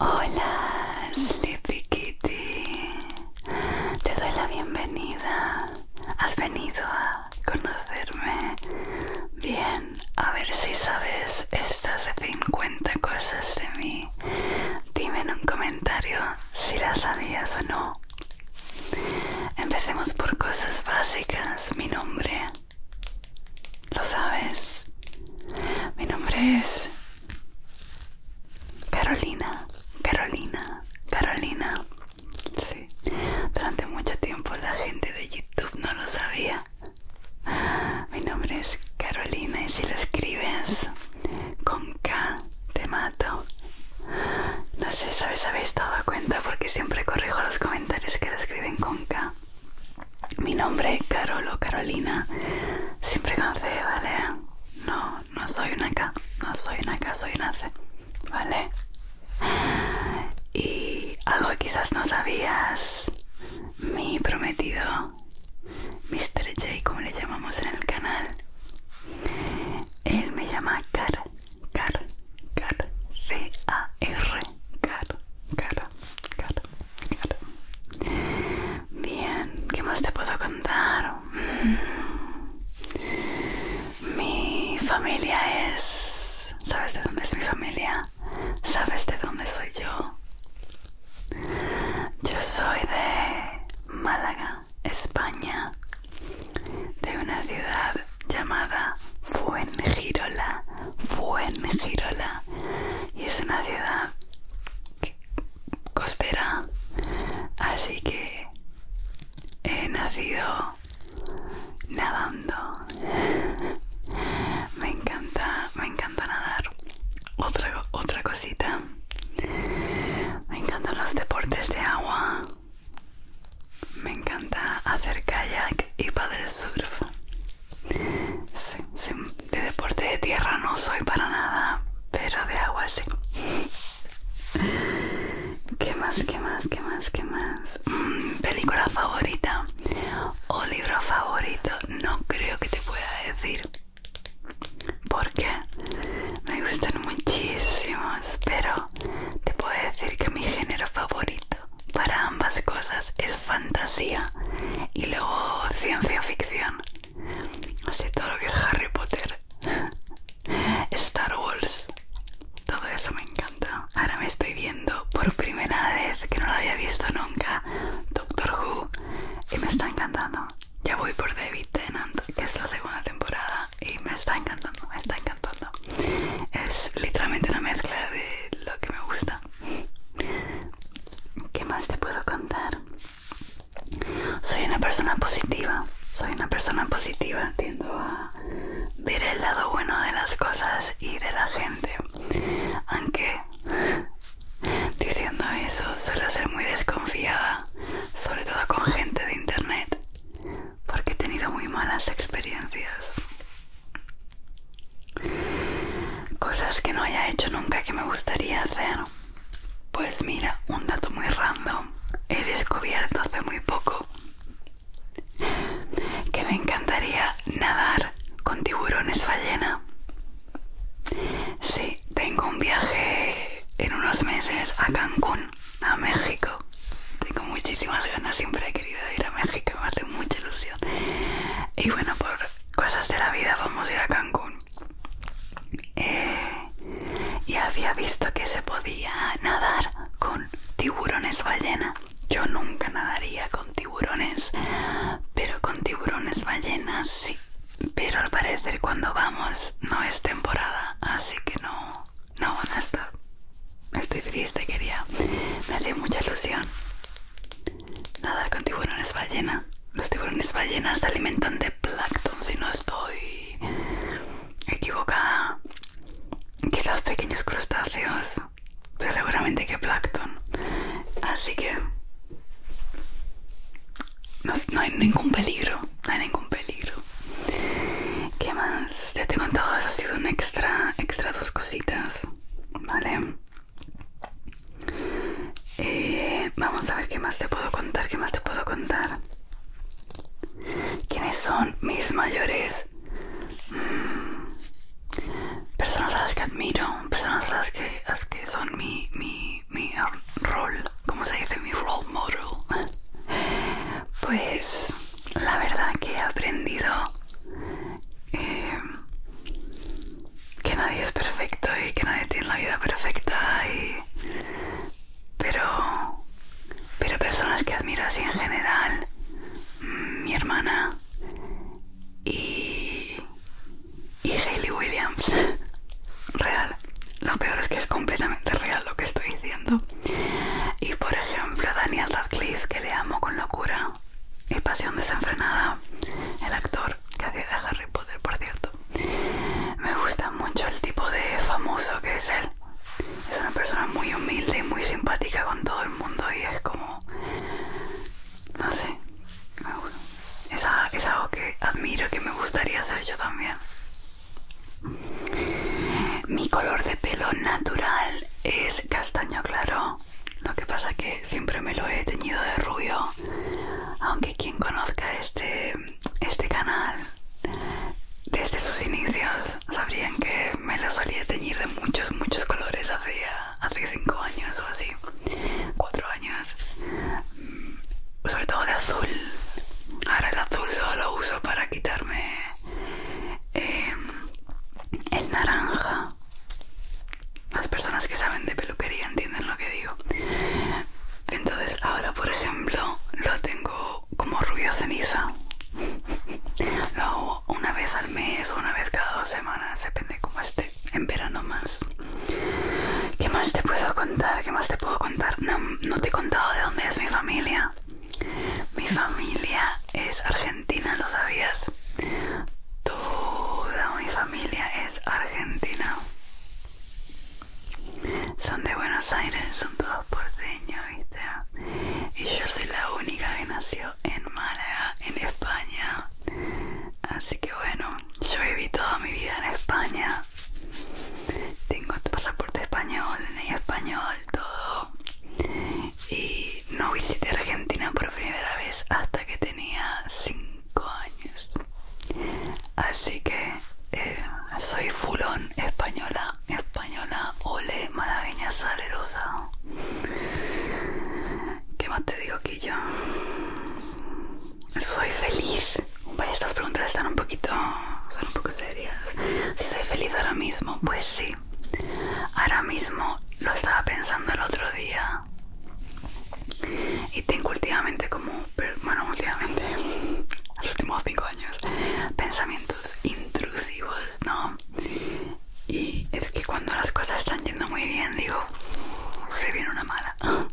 Hola, Sleepy Kitty. Te doy la bienvenida. Has venido a conocerme. Bien, a ver si sabes estas 50 cosas de mí. Dime en un comentario si las sabías o no. Empecemos por cosas básicas. Mi nombre. ¿Lo sabes? Mi nombre es Carolina, Carolina, Carolina. Sí, durante mucho tiempo la gente de YouTube no lo sabía. Mi nombre es Carolina y si lo escribes con K te mato. No sé, ¿sabes? ¿Habéis dado cuenta? Porque siempre corrijo los comentarios que lo escriben con K mi nombre es Carolo Carolina. Siempre con C, ¿vale? No, no soy una K, no soy una K, soy una C, ¿vale? Y algo que quizás no sabías, mi prometido, Mr. J, como le llamamos en el canal, él me llama Car, Car, Car, C-A-R. Caro, cara, cara, cara. Bien, ¿qué más te puedo contar? Mm. Mi familia es... ¿Sabes de dónde es mi familia? ¿Sabes de dónde soy yo? Yo soy de Málaga, España, de una ciudad llamada Fuengirola, Girola y es una ciudad costera así que he nacido nadando me encanta me encanta nadar otra otra cosita me encantan los deportes de agua me encanta hacer kayak y paddle surf de deporte de tierra no soy para nada, pero de agua sí. ¿Qué más, qué más, qué más, qué más? Mm, ¿Película favorita o libro favorito? No creo que te pueda decir. Porque me gustan muchísimos, pero te puedo decir que mi género favorito para ambas cosas es fantasía y luego ciencia ficción. Así todo lo que es Harry Potter, Star Wars, todo eso me encanta. Ahora me estoy viendo por primera vez, que no lo había visto nunca, Doctor Who y me está encantando. Ya voy por David Tennant, que es la segunda temporada y me está encantando, me está encantando. Es literalmente una mezcla de lo que me gusta. ¿Qué más te puedo contar? Soy una persona positiva, soy una persona positiva, tiendo a ver el lado bueno de las cosas y de la gente, aunque diciendo eso suelo ser muy desconfiada, sobre todo con gente de internet, porque he tenido muy malas experiencias. Cosas que no haya hecho nunca que me gustaría hacer. Pues mira, un dato muy random. He descubierto hace muy poco que me encantaría nadar con tiburones ballena. Sí, tengo un viaje en unos meses a Cancún, a México. Tengo muchísimas ganas, siempre he querido ir a México, me hace mucha ilusión. Y bueno, por cosas de la vida, vamos a ir a Cancún. Eh, y había visto que se podía nadar con tiburones ballena. Yo nunca nadaría con tiburones, pero con tiburones ballenas sí. Pero al parecer cuando vamos no es temporada, así que no, no van a estar. Estoy triste, quería. Me hace mucha ilusión nada con tiburones ballena. Los tiburones ballenas se alimentan de plancton, si no estoy equivocada. los pequeños crustáceos, pero seguramente que plancton. Así que no, hay ningún peligro, no hay ningún peligro. ¿Qué más? Ya te he contado, eso ha sido un extra, extra dos cositas, ¿vale? Eh, vamos a ver qué más te puedo contar, qué más te puedo contar. ¿Quiénes son mis mayores mm, personas a las que admiro? Personas a las que, son mi, rol, ¿cómo se dice? Mi role model. Pues la verdad que he aprendido eh, que nadie es perfecto y que nadie tiene la vida perfecta y pero pero personas que admiras así en general mm, mi hermana y y Hayley Williams real lo peor es que es completamente real lo que estoy diciendo y por ejemplo Daniel Radcliffe que le amo con locura y Pasión Desenfrenada, el actor que hace de Harry Potter, por cierto. Me gusta mucho el tipo de famoso que es él. Es una persona muy humilde y muy simpática con todo el mundo y es como... No sé. Es, algo que admiro que me gustaría ser yo también. Mi color de pelo natural es castaño claro lo que pasa que siempre me lo he teñido de rubio, aunque quien conozca este, este canal desde sus inicios sabrían que me lo solía teñir de muchos, muchos colores hace 5 años o así, 4 años, mm, sobre todo de azul. Ahora el azul solo lo uso para quitarme eh, el naranja las personas que saben de peluquería entienden lo que digo. Entonces ahora, por ejemplo, lo tengo como rubio ceniza. lo hago una vez al mes o una vez cada dos semanas, depende cómo esté. En verano más. ¿Qué más te puedo contar? ¿Qué más te puedo contar? No, no te he contado de dónde es mi familia. Mi familia es argentina argentina, ¿lo sabías? Toda mi familia es argentina. Son de Buenos Aires, son todos porteños, ¿viste? Y yo soy la única que nació en Málaga, en España. Así que bueno, yo viví toda mi vida en España. Tengo pasaporte español, en español, todo. Y no visité Argentina por primera vez hasta que tenía 5 años. Así que eh, soy fulón española, española, ole, malagueña, salerosa. ¿Qué más te digo, que yo Soy feliz. estas preguntas están un poquito, son un poco serias. Si soy feliz ahora mismo, pues sí, Ahora mismo lo estaba pensando el otro día y tengo últimamente como, bueno, últimamente, los últimos 5 años, pensamientos intrusivos, ¿no? Y es que cuando las cosas están yendo muy bien, digo, se viene una mala.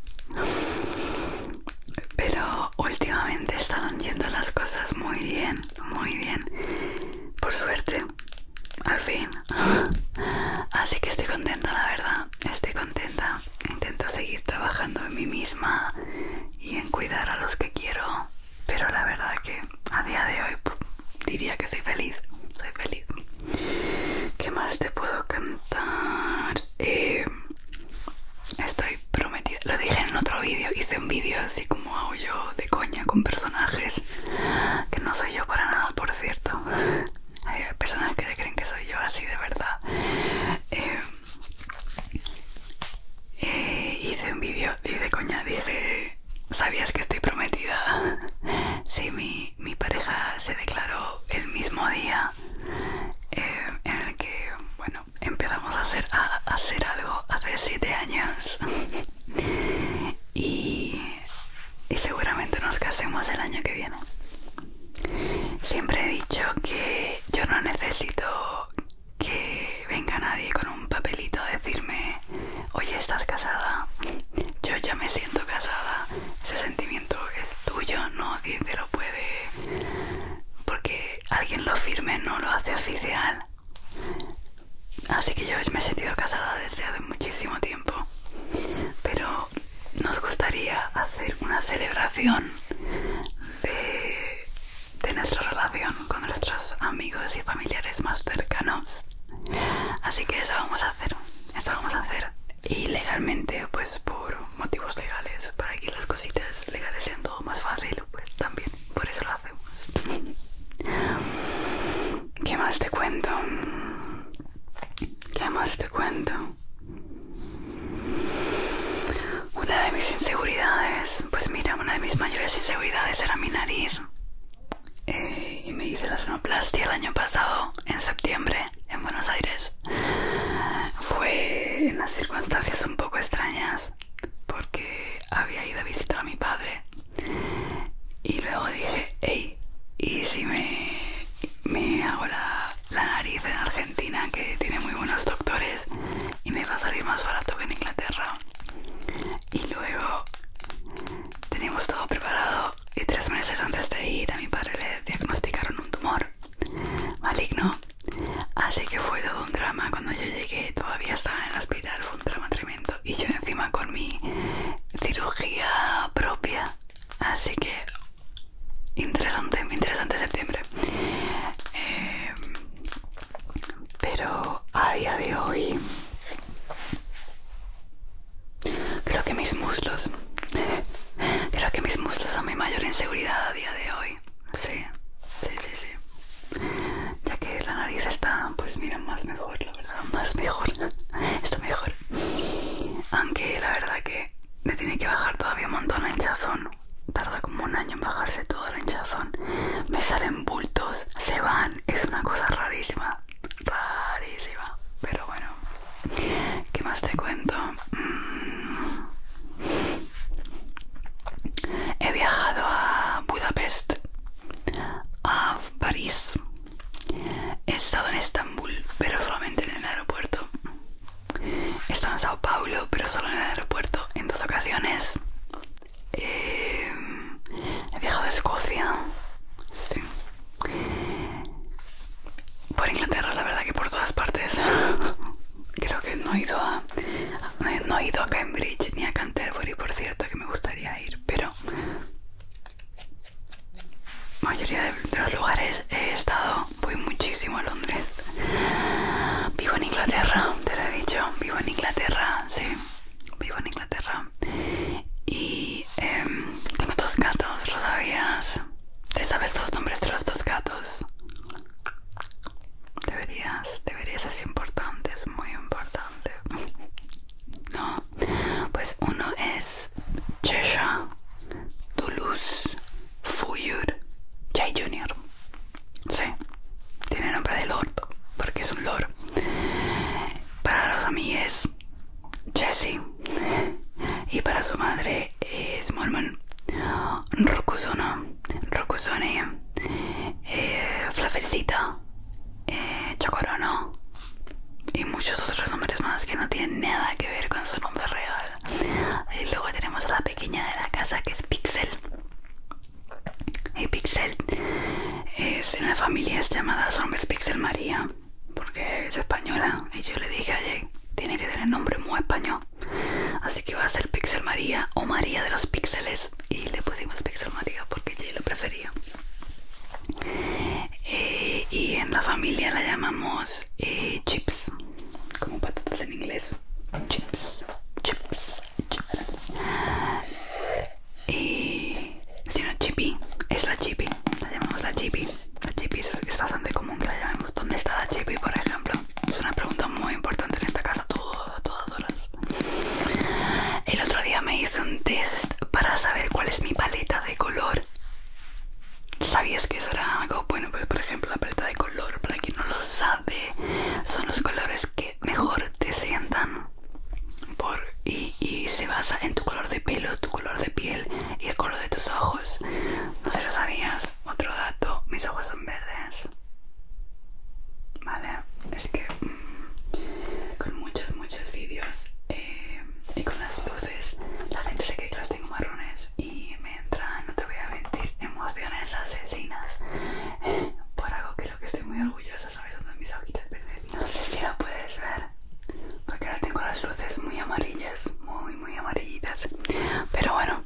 Pero últimamente están yendo las cosas muy bien, muy bien. Por suerte, al fin así que estoy contenta la verdad estoy contenta intento seguir trabajando en mí misma y en cuidar a los que quiero pero la verdad que a día de hoy diría que soy feliz soy feliz ¿qué más te puedo cantar? Eh, estoy prometida lo dije en otro vídeo hice un vídeo así como hago yo de coña con personajes que no soy yo para nada cierto. Hay personas que creen que soy yo así de verdad. Eh, eh, hice un vídeo y de coña dije, ¿sabías que estoy prometida? si mi, pareja se declaró el mismo día eh, en el que, bueno, empezamos a hacer, a, a hacer algo hace 7 años. y, seguramente nos casemos el año que viene. Siempre he dicho que yo no necesito que venga nadie con un papelito a decirme, oye, estás casada, yo ya me siento casada, ese sentimiento es tuyo, no te lo puede, porque alguien lo firme no lo hace oficial. Así que yo me he sentido casada desde hace muchísimo tiempo. Pero nos gustaría hacer una celebración de, nuestra relación con nuestros amigos y familiares más cercanos. Así que eso vamos a hacer. Eso vamos a hacer. Y legalmente, pues por motivos legales, para que las cositas legales sean todo más fácil, pues también por eso lo hacemos. ¿Qué más te cuento? ¿Qué más te cuento? Una de mis inseguridades, pues mira, una de mis mayores inseguridades era mi nariz. Eh, y me hice la renoplastia el año pasado, en septiembre, en Buenos Aires. Fue en las circunstancias un poco extrañas, porque había ido a visitar a mi padre y luego dije, hey, ¿y si me, me hago la, la nariz en Argentina, que tiene muy buenos doctores, y me va a salir más barato que en Inglaterra? Y luego teníamos todo preparado y tres meses antes de ir a mi padre le diagnosticaron un tumor maligno. Así que fue todo un drama. Cuando yo llegué todavía estaba en el hospital, fue un drama tremendo y yo encima con mi cirugía propia así que interesante interesante septiembre eh, pero a día de hoy creo que mis muslos creo que mis muslos son mi mayor inseguridad a día de hoy sí sí sí sí ya que la nariz está pues mira más mejor la verdad más mejor está mejor aunque la verdad que me tiene que bajar todavía un montón la hinchazón tarda como un año en bajarse todo la hinchazón me salen bultos se van es una cosa rarísima rarísima pero bueno qué más te cuento mm. He viajado a Budapest, a París, He estado en Estambul, pero solamente en el aeropuerto. He estado en Sao Paulo, pero solo en el aeropuerto en dos ocasiones. Eh, he viajado a Escocia. Sí. Por Inglaterra, la verdad que por todas partes. Creo que no he ido a. No he ido a Cambridge ni a Canterbury, por cierto, que me gustaría ir, pero mayoría de los lugares he estado, voy muchísimo a Londres. Vivo en Inglaterra, te lo he dicho, vivo en Inglaterra, sí, vivo en Inglaterra. Y em, tengo dos gatos, ¿lo sabías? ¿Te sabes los nombres de los dos gatos? Deberías, deberías, es importante, es muy importante. No, pues uno es Chesha Toulouse, Fuyur, Jay Jr. Sí, tiene nombre de Lord porque es un Lord. Para los amigos, Jesse. Y para su madre es Mormon. Rocusona. Rocusone, eh, eh, Chocorono y muchos otros nombres más que no tienen nada que ver con su nombre real. Y luego tenemos a la pequeña de la casa que es Pixel. Y Pixel es en la familia es llamada su Pixel María porque es española y yo le dije ayer tiene que tener nombre muy español así que va a ser Pixel María o María de los Píxeles y le pusimos Pixel María porque Jay lo prefería. Eh, y en la familia la llamamos eh, chips, como patatas en inglés. Chips, chips, chips. Y si no, chipi, es la chipi, la llamamos la chipi. La chipi es, bastante común que la llamemos. ¿Dónde está la chipi, por ejemplo? Es una pregunta muy importante en esta casa, todas, todas horas. El otro día me hice un test para saber cuál es mi paleta de color. ¿Sabías que eso era algo? Bueno, pues por ejemplo la paleta de color, para quien no lo sabe, son los colores que mejor te sientan. y, se basa en tu color de pelo, tu color de piel y el color de tus ojos. No sé lo sabías. Otro dato, mis ojos son verdes. Vale, es que con muchos muchos vídeos eh, y con las luces la gente se cree que los tengo marrones y me entran, no te voy a mentir, emociones asesinas por algo que lo que estoy muy orgullosa, sabes, dónde mis ojitos verdes no sé si lo puedes ver porque ahora tengo las luces muy amarillas, muy muy amarillitas pero bueno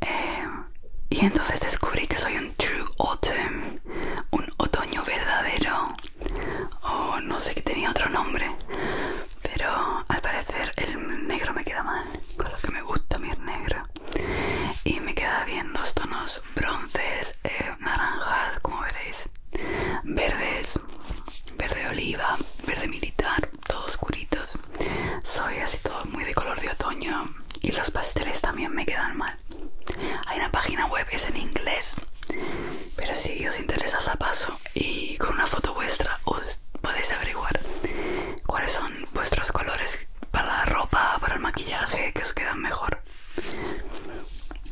eh, y entonces descubrí que soy un true autumn un otoño verdadero o no sé que tenía otro nombre pero al parecer el negro me queda mal con lo que me gusta mi negro y me queda bien los tonos bronces eh, naranjas como veréis verdes verde oliva verde militar todos oscuritos soy así todo muy de color de otoño y los pasteles también me quedan mal hay una página web, es en inglés. Pero si os interesa a paso y con una foto vuestra os podéis averiguar cuáles son vuestros colores para la ropa, para el maquillaje que os quedan mejor.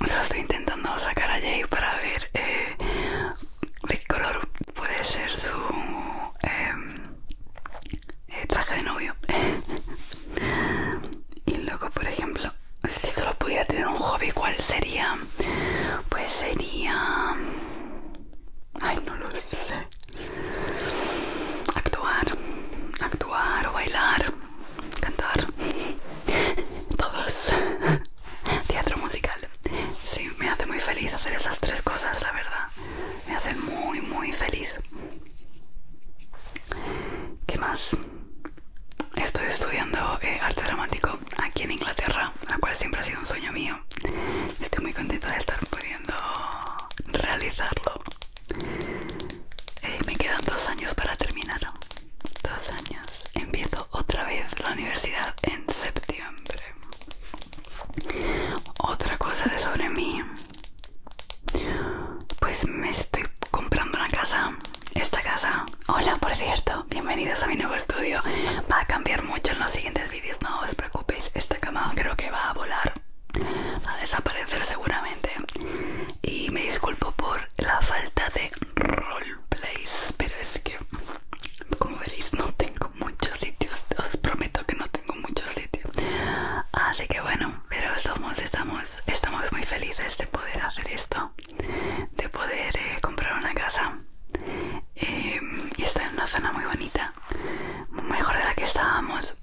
Se lo estoy intentando sacar a Jay para ver de eh, qué color puede ser su em, eh, traje de novio. y luego, por ejemplo, si solo pudiera tener un hobby, ¿cuál sería? Pues sería... Ay, no lo sé. Actuar, actuar o bailar, cantar. Todos. Teatro musical. Sí, me hace muy feliz hacer esas tres cosas, la verdad. Me hace muy, muy feliz. ¿Qué más? estoy estudiando eh, arte dramático aquí en Inglaterra, la cual siempre ha sido un sueño mío. Estoy muy contenta de estar pudiendo realizarlo. Eh, me quedan dos años para terminar. Dos años. Empiezo otra vez la universidad en septiembre. Otra cosa de sobre mí pues me estoy comprando una casa. Esta casa. Hola, por cierto. Bienvenidos a mi nuevo estudio. Va a cambiar mucho en los siguientes vídeos. No os preocupéis. Esta cama creo que va a volar. a desaparecer seguramente. Y me disculpo por la falta de roleplays. Pero es que, como veréis, no tengo muchos sitios. Os prometo que no tengo muchos sitios. Así que bueno, pero estamos, estamos muy felices de poder hacer esto, de poder eh, comprar una casa em, y está en una zona muy bonita, mejor de la que estábamos.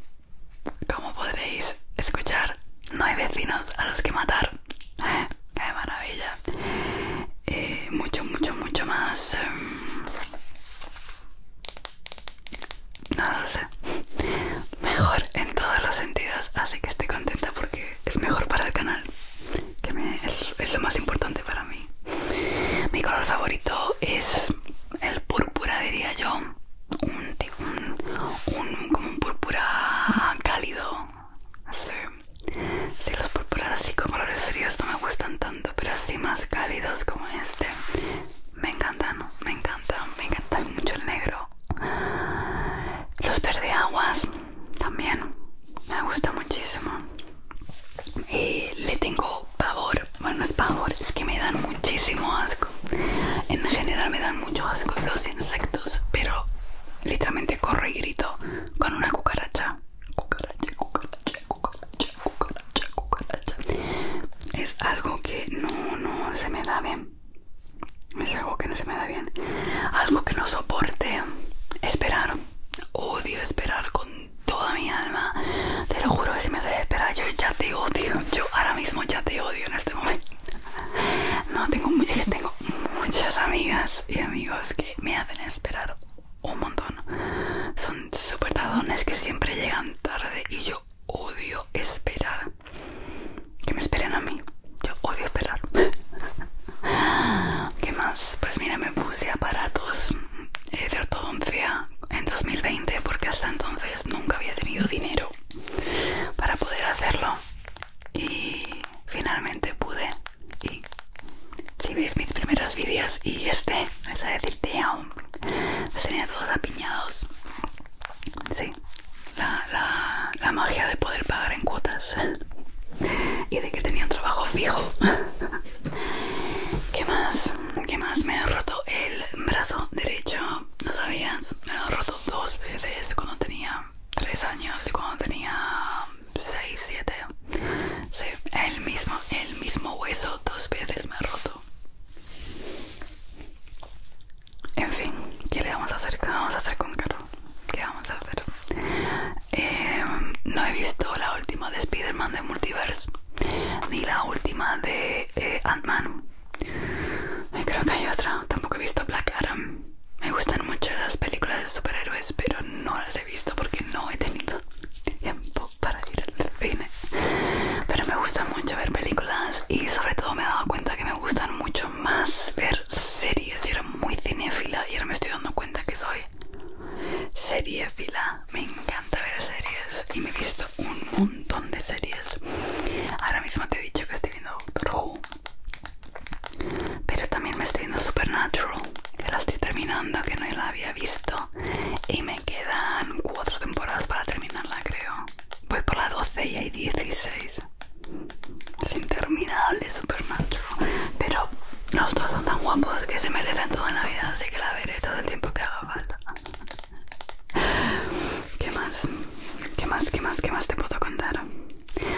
Como podréis escuchar, no hay vecinos a los que matar. ¡Qué maravilla! Eh, mucho, mucho, mucho más. Em, no lo sé mejor en todos los sentidos así que estoy contenta porque es mejor para el canal que es, lo más importante para mí mi color favorito es el púrpura diría yo un, un púrpura cálido sí. sí, los púrpuras así con colores fríos no me gustan tanto pero así más cálidos como este me encantan, me encantan, me encanta mucho el negro. Los verde también me gusta muchísimo. le tengo pavor, bueno no es pavor, es que me dan muchísimo asco. En general me dan mucho asco los insectos, pero literalmente corro y grito con una cucaracha. Cucaracha, cucaracha, cucaracha, cucaracha, cucaracha. Es algo que no, no se me da bien. Es algo que no se me da bien. Algo que no soporte esperar. Odio esperar con toda mi alma. Te lo juro que si me haces esperar, yo ya te odio. Yo ahora mismo ya te odio en este momento. No, tengo, es tengo muchas amigas y amigos que me hacen esperar un montón. Son súper tardones que siempre llegan tarde y yo odio esperar. Que me esperen a mí. Yo odio esperar. ¿Qué más? Pues mira, me puse aparatos eh, de ortodoncia en 2020 porque hasta entonces nunca había tenido dinero para poder hacerlo. Y finalmente pude. Y si veis mis primeros vídeos y este, es a aún tenía todos apiñados Sí, la, magia de poder pagar en cuotas y de que tenía un trabajo fijo. ¿Qué más? ¿Qué más? Me he roto el brazo derecho, no sabías, me lo he roto dos veces cuando tenía tres años y cuando tenía seis siete. Sí, el mismo, el mismo hueso dos veces me he roto. En fin, ¿qué le vamos a hacer? ¿Qué vamos a hacer con carro ¿Qué vamos a hacer? Eh, no he visto la última de Spider-Man de Multiverse ni la última de eh, Ant-Man. Creo que hay otra. Tampoco he visto Black Adam. Me gustan mucho las películas de superhéroes, pero no las he visto porque no he tenido tiempo para ir al cine. Pero me gusta mucho ver películas y sobre todo me he dado cuenta que me gustan mucho más ver series. Yo era muy cinéfila y ahora me estoy dando cuenta que soy seriefila. Me encanta ver series y me he visto un montón de series. Ahora mismo te he dicho que estoy viendo Doctor Who, pero también me estoy viendo Supernatural, que la estoy terminando, que no la había visto y me quedan cuatro temporadas para terminarla, creo voy por la 12 y hay 16. Es interminable macho. Pero los dos son tan guapos que se merecen toda la vida, así que la veré todo el tiempo que haga falta. ¿Qué más? ¿Qué más? ¿Qué más? ¿Qué más te puedo contar?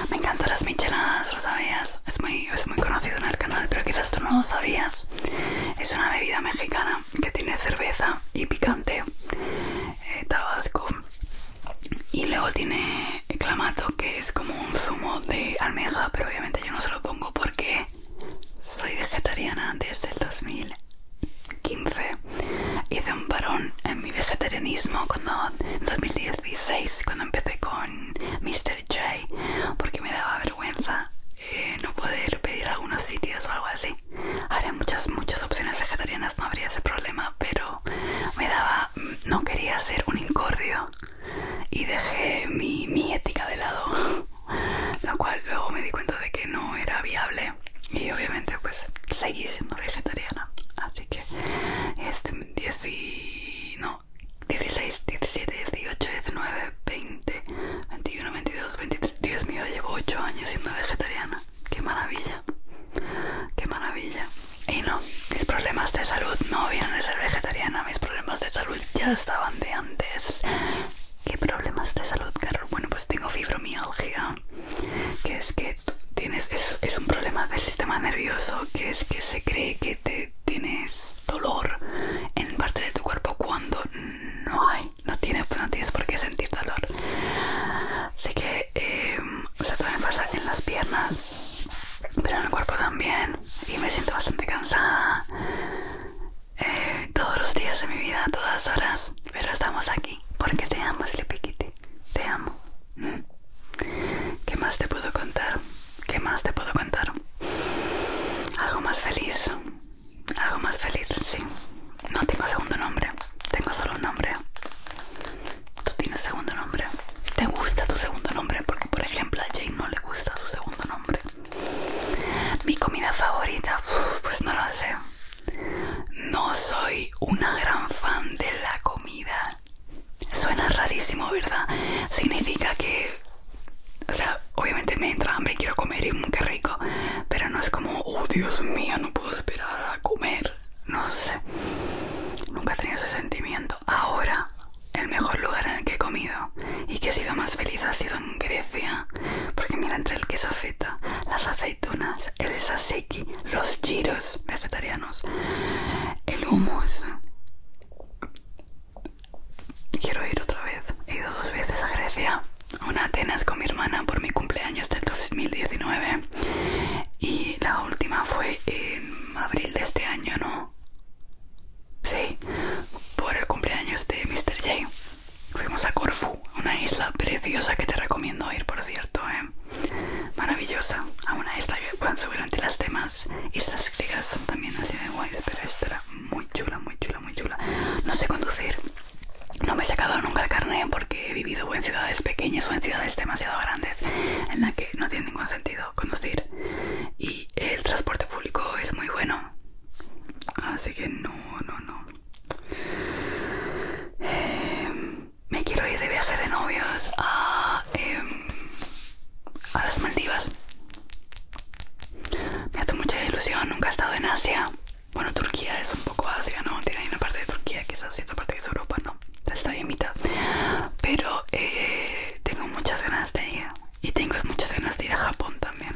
Me encantan las micheladas, ¿lo sabías? Es muy, es muy conocido en el canal, pero quizás tú no lo sabías. Es una bebida mexicana que tiene cerveza y picante, eh, tabasco. Y luego tiene clamato, que es como un zumo de almeja, pero obviamente yo no se lo pongo porque soy vegetariana desde el 2015. Hice un parón en mi vegetarianismo cuando en 2016, cuando empecé con Mr. J, porque me daba vergüenza eh, no poder pedir algunos sitios o algo así. Haré muchas, muchas opciones vegetarianas no habría ese problema, pero me daba, no quería ser un incordio y dejé mi, ética de lado, lo cual luego me di cuenta de que no era viable y obviamente pues seguí siendo vegetariana. Así que este no, 16, 17, 18, 19, 20, 21, 22, 23, Dios mío, llevo 8 años siendo vegetariana qué maravilla, qué maravilla. Y no, mis problemas de salud no vienen de ser vegetariana, mis problemas de salud ya estaban de antes. ¿Qué problemas de salud, Carol? Bueno, pues tengo fibromialgia, que es que tienes, es, es un problema del sistema nervioso, que es que se cree que te tienes dolor en parte de tu cuerpo cuando no hay pues, no tienes, por qué sentir dolor. Así que eh, o sea, pasa en las piernas, pero en el cuerpo también. Y me siento bastante cansada eh, todos los días de mi vida, todas horas. Pero estamos aquí porque te amo, Sleepy Kitty. Te amo. ¿Qué más te puedo contar? ¿Qué más te puedo contar? Algo más feliz algo más feliz, sí. No tengo segundo nombre, tengo solo un nombre. Tú tienes segundo nombre. ¿Te gusta tu segundo nombre? Porque, por ejemplo, a Jane no le gusta su segundo nombre. Mi comida favorita, pues no lo sé. No soy una gran fan de la comida. Suena rarísimo, ¿verdad? Significa que, o sea, obviamente me entra hambre y quiero comer y mm, qué rico, pero no es como, oh Dios mío, no puedo esperar a comer. No sé. Nunca tenía ese sentimiento. Ahora, el mejor lugar en el que he comido y que he sido más feliz ha sido en Grecia. Porque mira, entre el queso feta, las aceitunas, el saseki, los gyros vegetarianos, el hummus. Quiero ir otra vez. He ido dos veces a Grecia una Atenas con mi hermana por mi cumpleaños del 2019 y la última fue en abril de este año, ¿no? Sí, por el cumpleaños de Mr. J. Fuimos a Corfu, una isla preciosa que te recomiendo ir, por cierto, ¿eh? Maravillosa, a una isla que durante seguramente las demás islas griegas son también así de guays, pero esta era muy chula, muy chula, muy chula. No sé conducir, no me he sacado nunca el carnet porque he vivido en ciudades pequeñas o en ciudades demasiado grandes en las que no tiene ningún sentido conducir y el transporte público es muy bueno. Así que no, no, no. Em, me quiero ir de viaje de novios a, em, a las Maldivas. Me hace mucha ilusión, nunca he estado en Asia. Bueno, Turquía es un poco Asia, ¿no? Tiene una parte de Turquía que es otra parte que es Europa, ¿no? Está bien mitad. Pero eh, tengo muchas ganas de ir. Y tengo muchas ganas de ir a Japón también.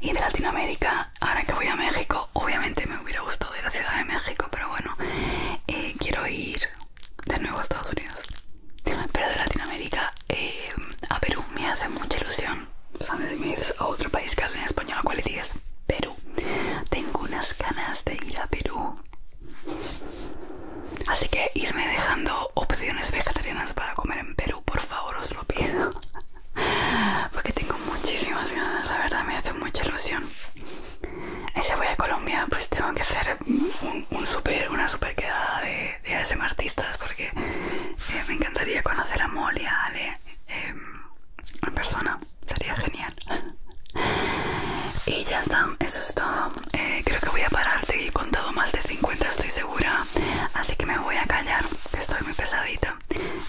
Y de Latinoamérica, ahora que voy a México, obviamente me hubiera gustado ir a Ciudad de México, pero bueno, eh, quiero ir de nuevo a Estados Unidos. Pero de Latinoamérica eh, a Perú me hace mucha ilusión pues antes me dices a oh, otro país que habla en español, ¿a cuál dices? Perú. Tengo unas ganas de ir a Perú. Así que irme dejando opciones vegetarianas para comer en Perú, por favor, os lo pido. Porque tengo muchísimas ganas, la verdad me hace mucha ilusión. Y si voy a Colombia, pues tengo que hacer un, una super quedada de, de artistas porque eh, me encantaría conocer a Molly, a Em, en persona sería genial y ya está eso es todo eh, creo que voy a parar y he contado más de 50 estoy segura así que me voy a callar estoy muy pesadita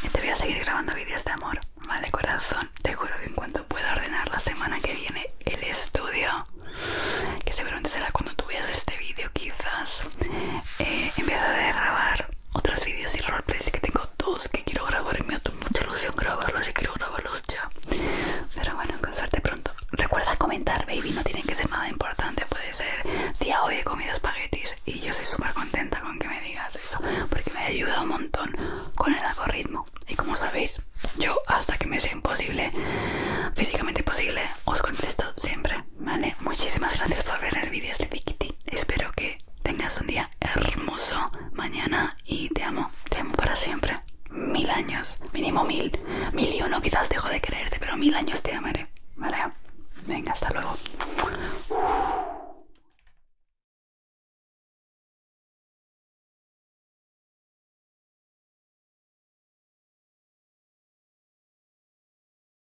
y te voy a seguir grabando vídeos de amor Mal de corazón te juro que en cuanto pueda ordenar la semana que viene el estudio que seguramente será cuando tú veas este vídeo quizás eh, En vez a grabar otros vídeos y roleplays que tengo dos que quiero grabar en me mucha ilusión grabarlos y quiero grabarlos ya pero bueno con suerte pronto recuerda comentar baby no tienen que ser nada importante puede ser día hoy he comido espaguetis y yo soy súper contenta con que me digas eso porque me ayuda un montón con el algoritmo y como sabéis yo hasta que me sea imposible físicamente posible os contesto siempre vale muchísimas gracias por ver el vídeo este piquitito espero que tengas un día hermoso mañana y te amo, te amo para siempre. Mil años, mínimo mil, mil y uno quizás dejo de creerte, pero mil años te amaré, ¿vale? Venga, hasta luego.